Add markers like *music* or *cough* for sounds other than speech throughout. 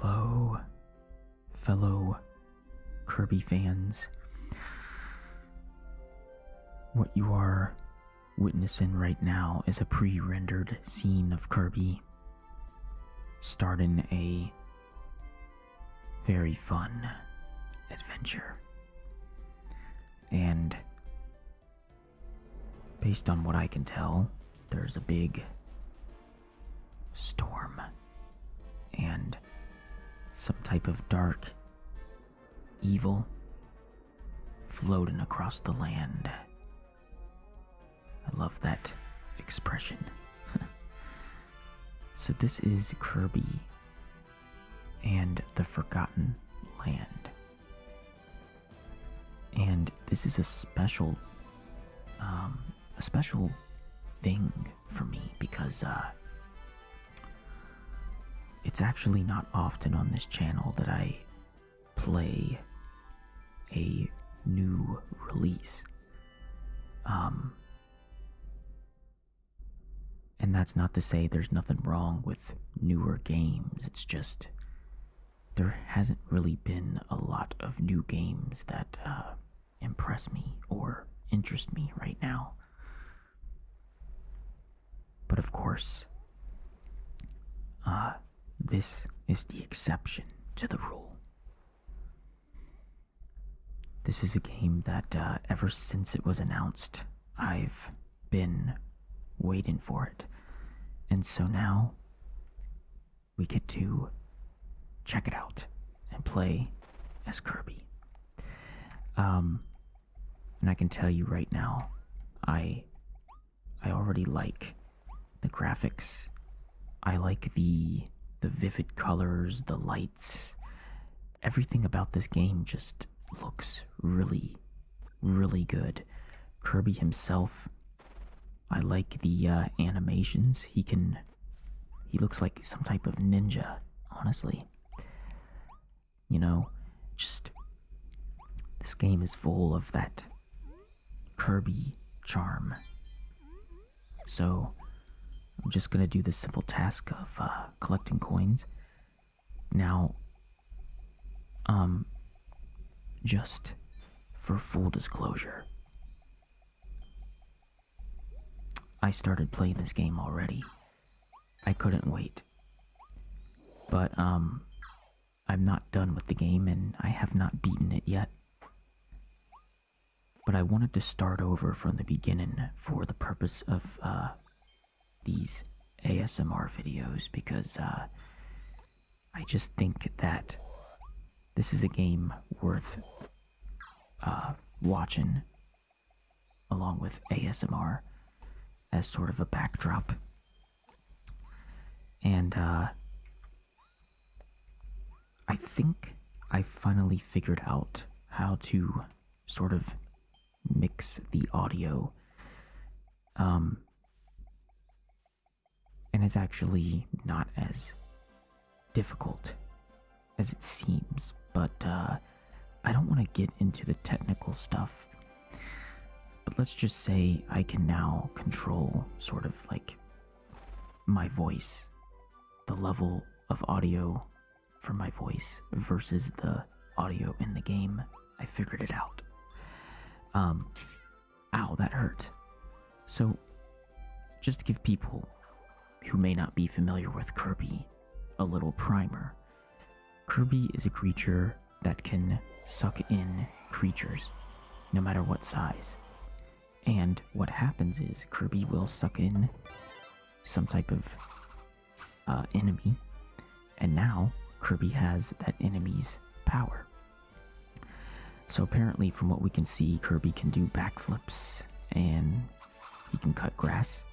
Hello, fellow Kirby fans. What you are witnessing right now is a pre rendered scene of Kirby starting a very fun adventure. And Based on what I can tell, there's a big storm and some type of dark evil floating across the land. I love that expression. *laughs* so, this is Kirby and the Forgotten Land. And this is a special, um, a special thing for me because uh, it's actually not often on this channel that I play a new release. Um, and that's not to say there's nothing wrong with newer games. It's just there hasn't really been a lot of new games that uh, impress me or interest me right now. But of course, uh, this is the exception to the rule. This is a game that, uh, ever since it was announced, I've been waiting for it. And so now, we get to check it out and play as Kirby. Um, and I can tell you right now, I I already like the graphics. I like the the vivid colors, the lights. Everything about this game just looks really really good. Kirby himself I like the uh, animations. He can. He looks like some type of ninja, honestly. You know, just. This game is full of that Kirby charm. So, I'm just gonna do the simple task of uh, collecting coins. Now, um, just for full disclosure, I started playing this game already. I couldn't wait. But, um, I'm not done with the game and I have not beaten it yet. But I wanted to start over from the beginning for the purpose of, uh, these ASMR videos because, uh, I just think that this is a game worth uh, watching along with ASMR as sort of a backdrop. And uh, I think I finally figured out how to sort of mix the audio. Um, and it's actually not as difficult as it seems, but uh, I don't want to get into the technical stuff. But let's just say I can now control sort of like my voice, the level of audio for my voice versus the audio in the game. I figured it out. Um, Ow, that hurt. So, just to give people who may not be familiar with Kirby a little primer, Kirby is a creature that can suck in creatures, no matter what size. And what happens is Kirby will suck in some type of uh, enemy, and now Kirby has that enemy's power. So apparently, from what we can see, Kirby can do backflips and he can cut grass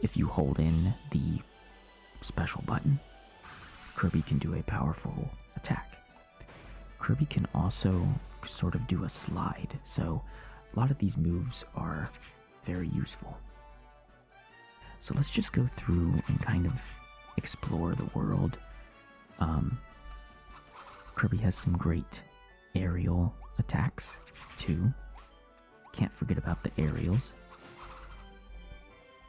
if you hold in the special button. Kirby can do a powerful attack. Kirby can also sort of do a slide, so a lot of these moves are very useful. So let's just go through and kind of explore the world um, Kirby has some great aerial attacks too. Can't forget about the aerials.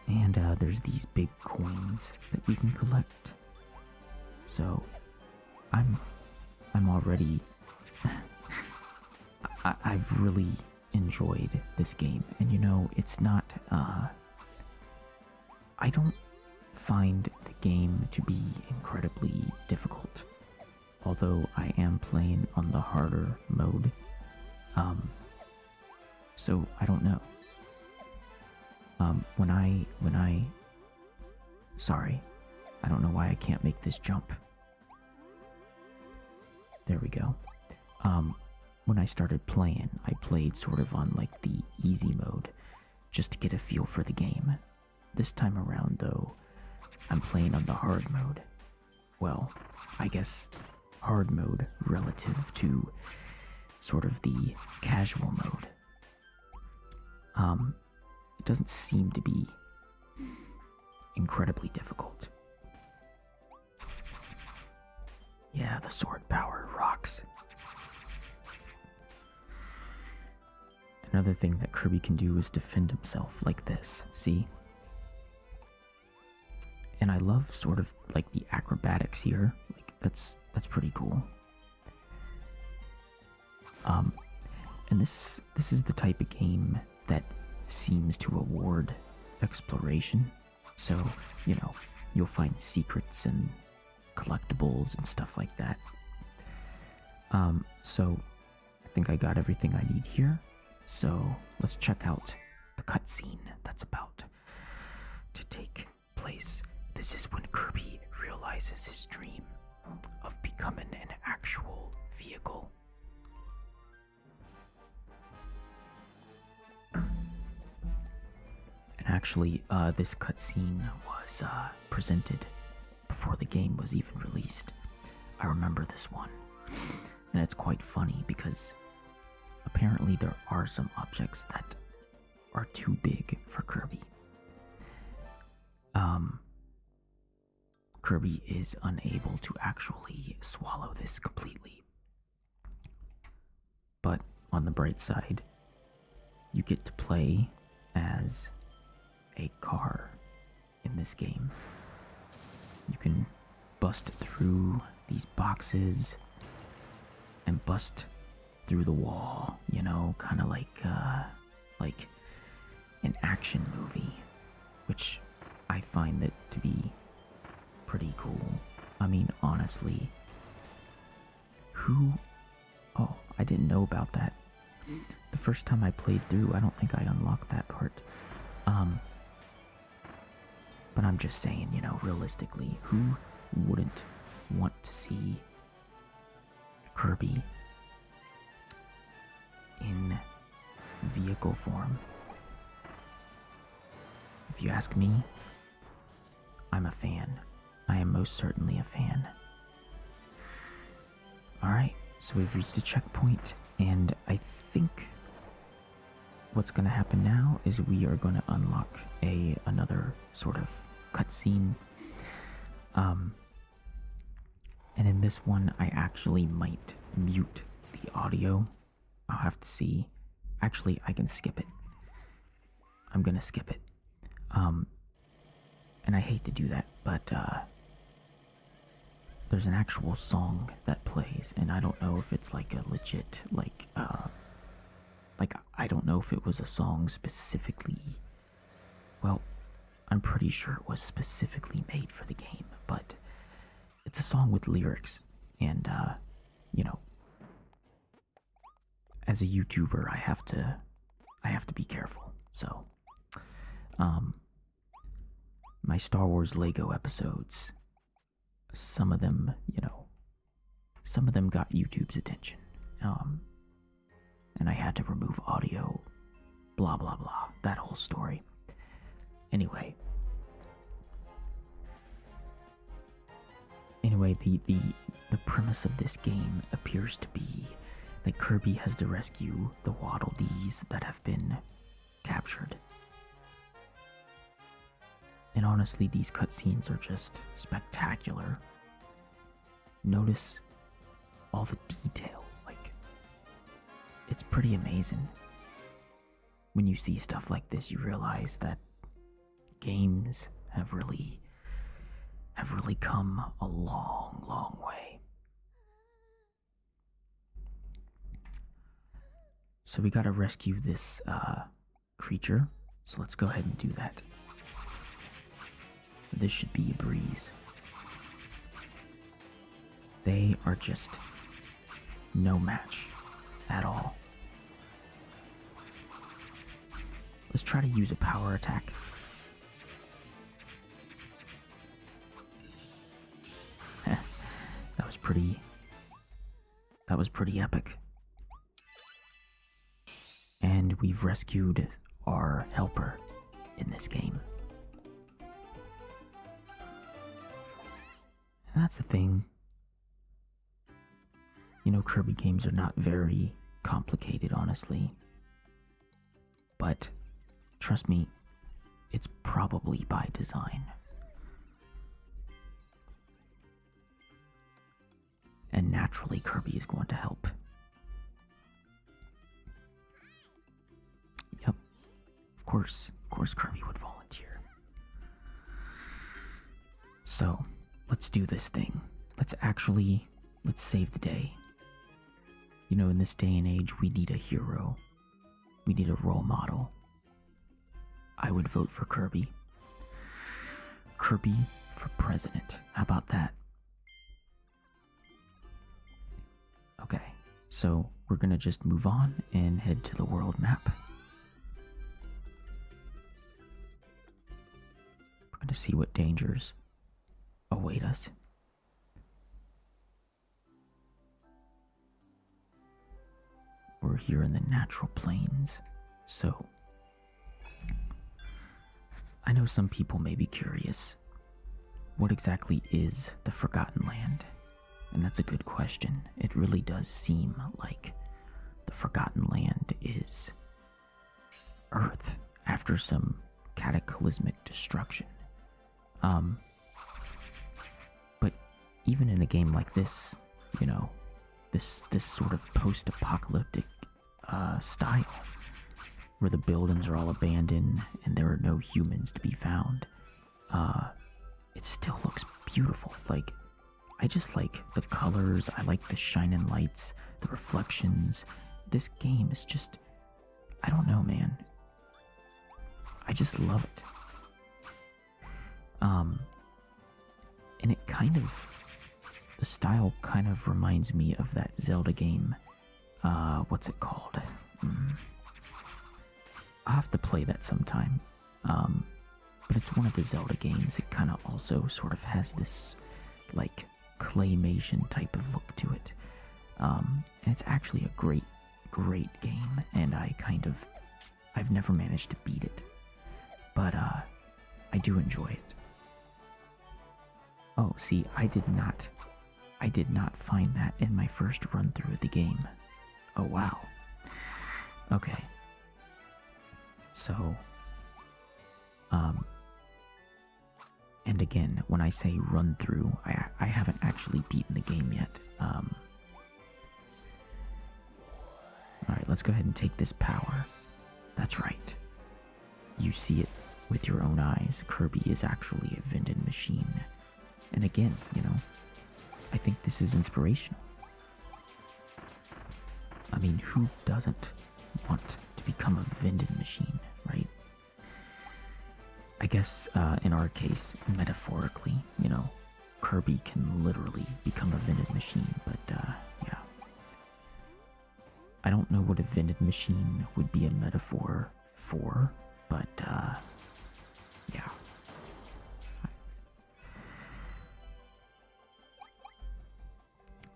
And uh, there's these big coins that we can collect. So, I'm, I'm already. *laughs* I, I've really enjoyed this game, and you know, it's not. Uh, I don't find the game to be incredibly difficult, although I am playing on the harder mode. Um, so I don't know. Um, when I, when I, sorry, I don't know why I can't make this jump. There we go. Um, when I started playing, I played sort of on like the easy mode just to get a feel for the game. This time around, though, I'm playing on the hard mode. Well, I guess hard mode relative to sort of the casual mode. Um, it doesn't seem to be incredibly difficult. Yeah, the sword power rocks. Another thing that Kirby can do is defend himself like this, see? And I love sort of like the acrobatics here. Like that's that's pretty cool. Um and this this is the type of game that seems to award exploration so, you know, you'll find secrets and collectibles and stuff like that. Um, so I think I got everything I need here. So let's check out the cutscene that's about to take place. This is when Kirby realizes his dream of becoming an actual vehicle. And actually, uh, this cutscene was uh, presented before the game was even released. I remember this one. And it's quite funny because apparently there are some objects that are too big for Kirby. Um, Kirby is unable to actually swallow this completely. But on the bright side, you get to play as a car in this game. You can bust through these boxes and bust through the wall, you know, kind of like uh, like an action movie, which I find it to be pretty cool. I mean, honestly, who? Oh, I didn't know about that. The first time I played through, I don't think I unlocked that part. Um, but I'm just saying, you know, realistically, who wouldn't want to see Kirby in vehicle form? If you ask me, I'm a fan. I am most certainly a fan. Alright, so we've reached a checkpoint, and I think what's going to happen now is we are going to unlock a another sort of cutscene. Um, and in this one, I actually might mute the audio. I'll have to see. Actually, I can skip it. I'm gonna skip it. Um, and I hate to do that, but uh, there's an actual song that plays, and I don't know if it's like a legit, like, uh, like I don't know if it was a song specifically. Well, I'm pretty sure it was specifically made for the game, but it's a song with lyrics, and uh, you know, as a YouTuber, I have to I have to be careful. So, um, my Star Wars Lego episodes, some of them, you know, some of them got YouTube's attention. Um, and I had to remove audio, blah, blah, blah, that whole story. Anyway, Anyway, the the the premise of this game appears to be that Kirby has to rescue the Waddle Dees that have been captured. And honestly, these cutscenes are just spectacular. Notice all the detail, like, it's pretty amazing. When you see stuff like this, you realize that games have really have really come a long, long way. So we gotta rescue this uh, creature. So let's go ahead and do that. This should be a breeze. They are just no match at all. Let's try to use a power attack. *laughs* that was pretty... That was pretty epic. And we've rescued our helper in this game. that's the thing. You know, Kirby games are not very complicated, honestly. But trust me, it's probably by design. And naturally, Kirby is going to help. Yep. Of course, of course, Kirby would volunteer. So, let's do this thing. Let's actually let's save the day. You know, in this day and age, we need a hero. We need a role model. I would vote for Kirby. Kirby for president. How about that? Okay, so we're gonna just move on and head to the world map. Trying to see what dangers await us. We're here in the natural plains, so I know some people may be curious. What exactly is the Forgotten Land? And that's a good question. It really does seem like the Forgotten Land is Earth after some cataclysmic destruction. Um, but even in a game like this, you know, this this sort of post-apocalyptic uh, style, where the buildings are all abandoned and there are no humans to be found, uh, it still looks beautiful. Like I just like the colors, I like the shining lights, the reflections. This game is just. I don't know, man. I just love it. Um, and it kind of. The style kind of reminds me of that Zelda game. Uh, what's it called? Hmm. i have to play that sometime. Um, but it's one of the Zelda games. It kind of also sort of has this like claymation type of look to it. Um, and it's actually a great, great game, and I kind of, I've never managed to beat it, but uh, I do enjoy it. Oh, see, I did not, I did not find that in my first run through of the game. Oh wow. Okay. So, um, and again, when I say run through, I, I haven't actually beaten the game yet. Um, Alright, let's go ahead and take this power. That's right. You see it with your own eyes. Kirby is actually a vended machine. And again, you know, I think this is inspirational. I mean, who doesn't want to become a vending machine, right? I guess uh, in our case, metaphorically, you know, Kirby can literally become a vending machine, but uh, yeah. I don't know what a vending machine would be a metaphor for, but uh, yeah.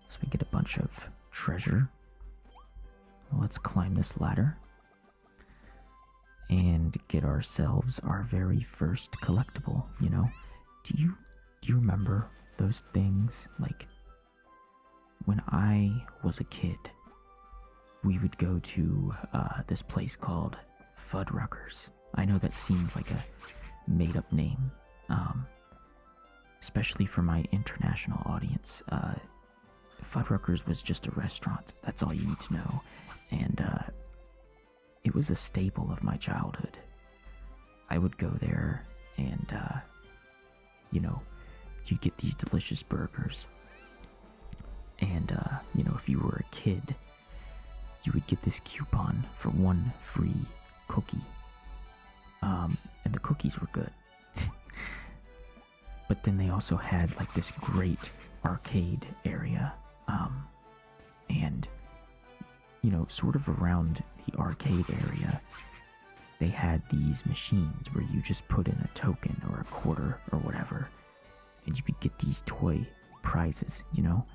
So we get a bunch of treasure. Let's climb this ladder and get ourselves our very first collectible, you know? Do you do you remember those things like when I was a kid, we would go to uh, this place called Fuddruckers. I know that seems like a made up name, um, especially for my international audience. Uh, was just a restaurant, that's all you need to know, and uh, it was a staple of my childhood. I would go there and, uh, you know, you'd get these delicious burgers. And, uh, you know, if you were a kid, you would get this coupon for one free cookie. Um, and the cookies were good. *laughs* but then they also had like this great arcade area, um, and you know, sort of around the arcade area, they had these machines where you just put in a token or a quarter or whatever, and you could get these toy prizes, you know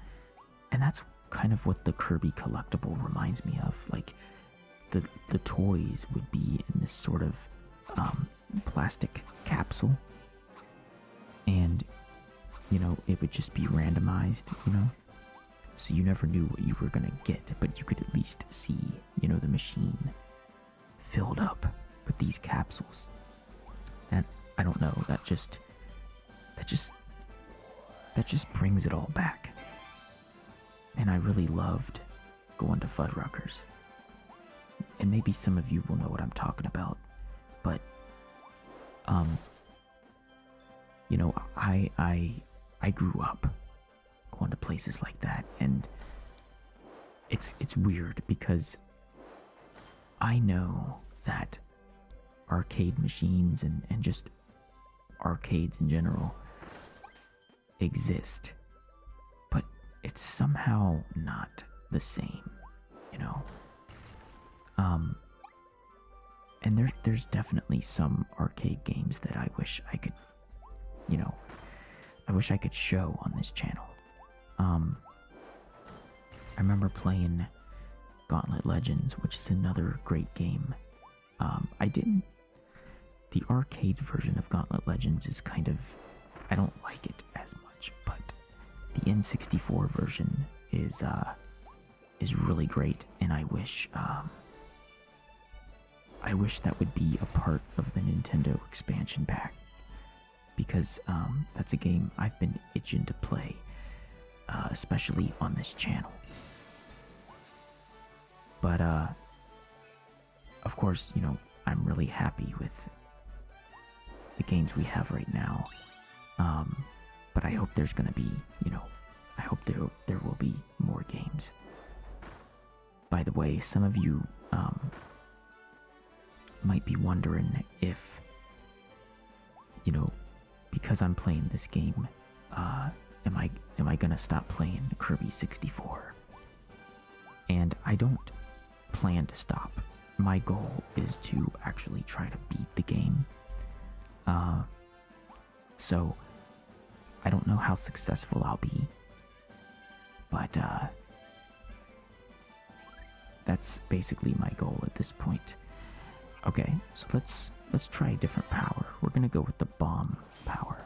and that's kind of what the Kirby collectible reminds me of. Like the the toys would be in this sort of um, plastic capsule, and you know it would just be randomized. You know, so you never knew what you were gonna get, but you could at least see you know the machine filled up with these capsules. And I don't know that just that just that just brings it all back. And I really loved going to Fuddruckers. And maybe some of you will know what I'm talking about, but um you know, I I I grew up going to places like that and it's it's weird because I know that arcade machines and, and just arcades in general exist, but it's somehow not the same, you know. Um, and there, there's definitely some arcade games that I wish I could, you know, I wish I could show on this channel. Um, I remember playing Gauntlet Legends, which is another great game um, I didn't. The arcade version of Gauntlet Legends is kind of. I don't like it as much, but the N64 version is uh, is really great, and I wish um, I wish that would be a part of the Nintendo expansion pack because um, that's a game I've been itching to play, uh, especially on this channel. But, uh, of course, you know, I'm really happy with the games we have right now. Um, but I hope there's gonna be, you know, I hope there, there will be more games. By the way, some of you, um, might be wondering if, you know, because I'm playing this game, uh, am I am I gonna stop playing Kirby 64? And I don't plan to stop. My goal is to actually try to beat the game. Uh, so I don't know how successful I'll be, but uh, that's basically my goal at this point. Okay, so let's let's try a different power. We're gonna go with the bomb power.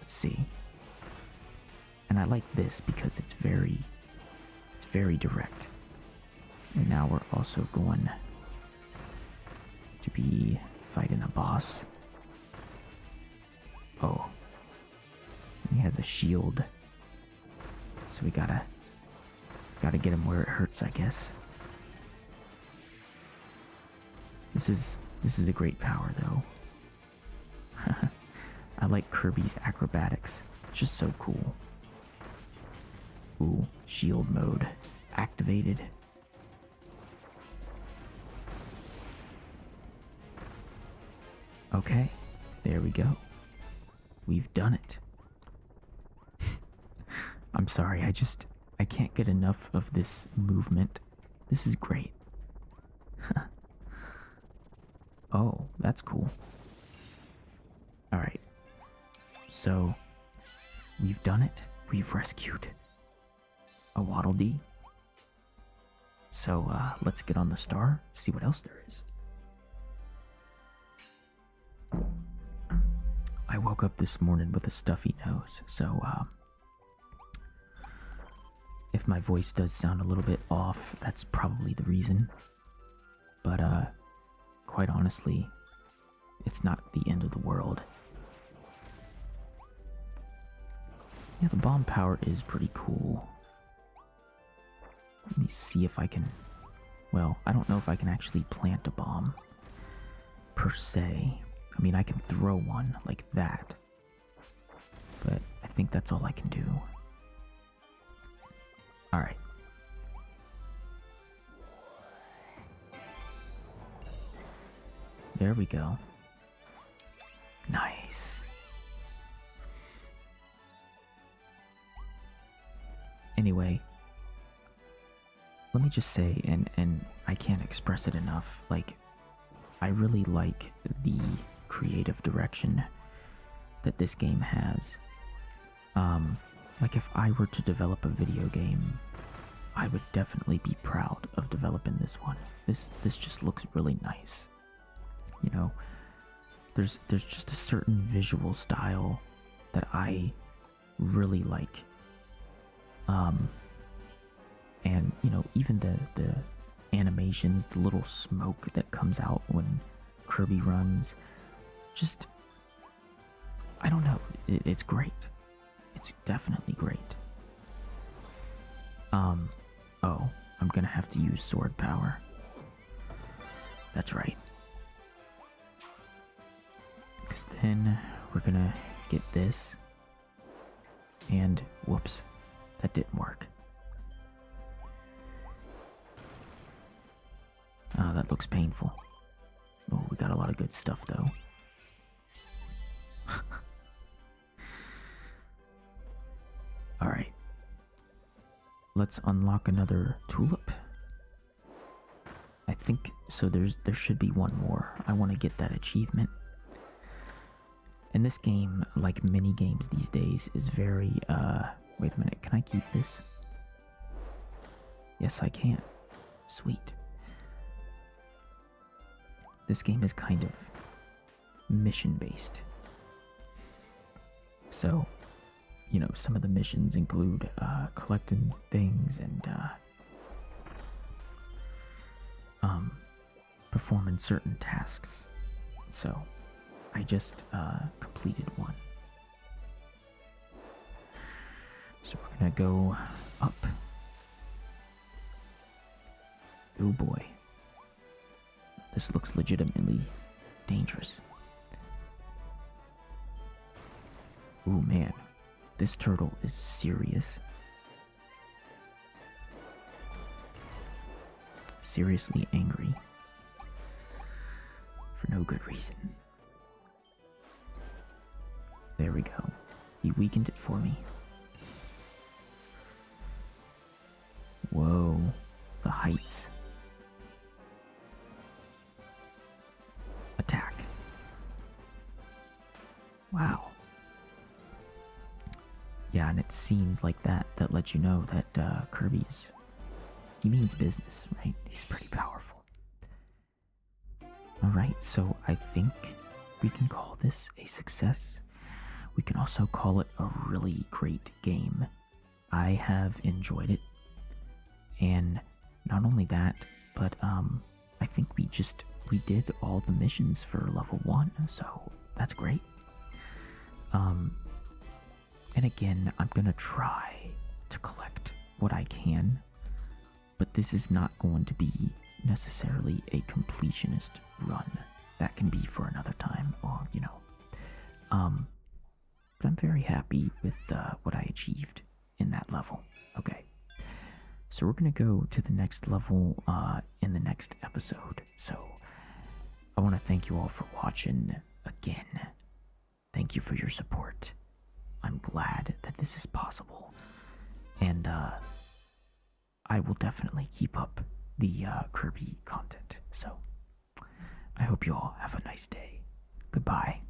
Let's see. And I like this because it's very it's very direct. And now we're also going to be fighting a boss. Oh. he has a shield. So we gotta gotta get him where it hurts, I guess. This is this is a great power though. *laughs* I like Kirby's acrobatics. It's just so cool. Ooh, shield mode activated. Okay, there we go. We've done it. *laughs* I'm sorry, I just I can't get enough of this movement. This is great. *laughs* oh, that's cool. Alright. So we've done it. We've rescued a Waddle Dee. So uh, let's get on the star, see what else there is. I woke up this morning with a stuffy nose, so um, if my voice does sound a little bit off, that's probably the reason. But uh, quite honestly, it's not the end of the world. Yeah, the bomb power is pretty cool. Let me see if I can... Well, I don't know if I can actually plant a bomb per se. I mean, I can throw one like that. But I think that's all I can do. Alright. There we go. Nice. Anyway, let me just say, and and I can't express it enough. Like, I really like the creative direction that this game has. Um, like if I were to develop a video game, I would definitely be proud of developing this one. This this just looks really nice. You know, there's there's just a certain visual style that I really like. Um, and you know, even the the animations, the little smoke that comes out when Kirby runs, just I don't know. it's great. It's definitely great. Um, oh, I'm gonna have to use sword power. That's right. Because then we're gonna get this. And whoops, that didn't work. Ah, oh, that looks painful. Oh, we got a lot of good stuff though. *laughs* Alright. Let's unlock another tulip. I think so there's there should be one more. I want to get that achievement. And this game, like many games these days, is very uh wait a minute, can I keep this? Yes, I can. Sweet. This game is kind of mission based. So, you know, some of the missions include uh, collecting things and uh, um, performing certain tasks. So I just uh, completed one. So we're gonna go up. Oh boy. This looks legitimately dangerous. Oh man, this turtle is serious. Seriously angry. For no good reason. There we go. He weakened it for me. Whoa, the heights attack. Wow. Yeah, and it's scenes like that that let you know that uh, Kirby's. He means business, right? He's pretty powerful. Alright, so I think we can call this a success. We can also call it a really great game. I have enjoyed it. And not only that, but um, I think we just we did all the missions for level one, so that's great. Um, and again, I'm gonna try to collect what I can, but this is not going to be necessarily a completionist run. That can be for another time, or you know. Um, but I'm very happy with uh, what I achieved in that level. Okay. So we're going to go to the next level uh, in the next episode. So I want to thank you all for watching again. Thank you for your support. I'm glad that this is possible. And uh, I will definitely keep up the uh, Kirby content. So I hope you all have a nice day. Goodbye.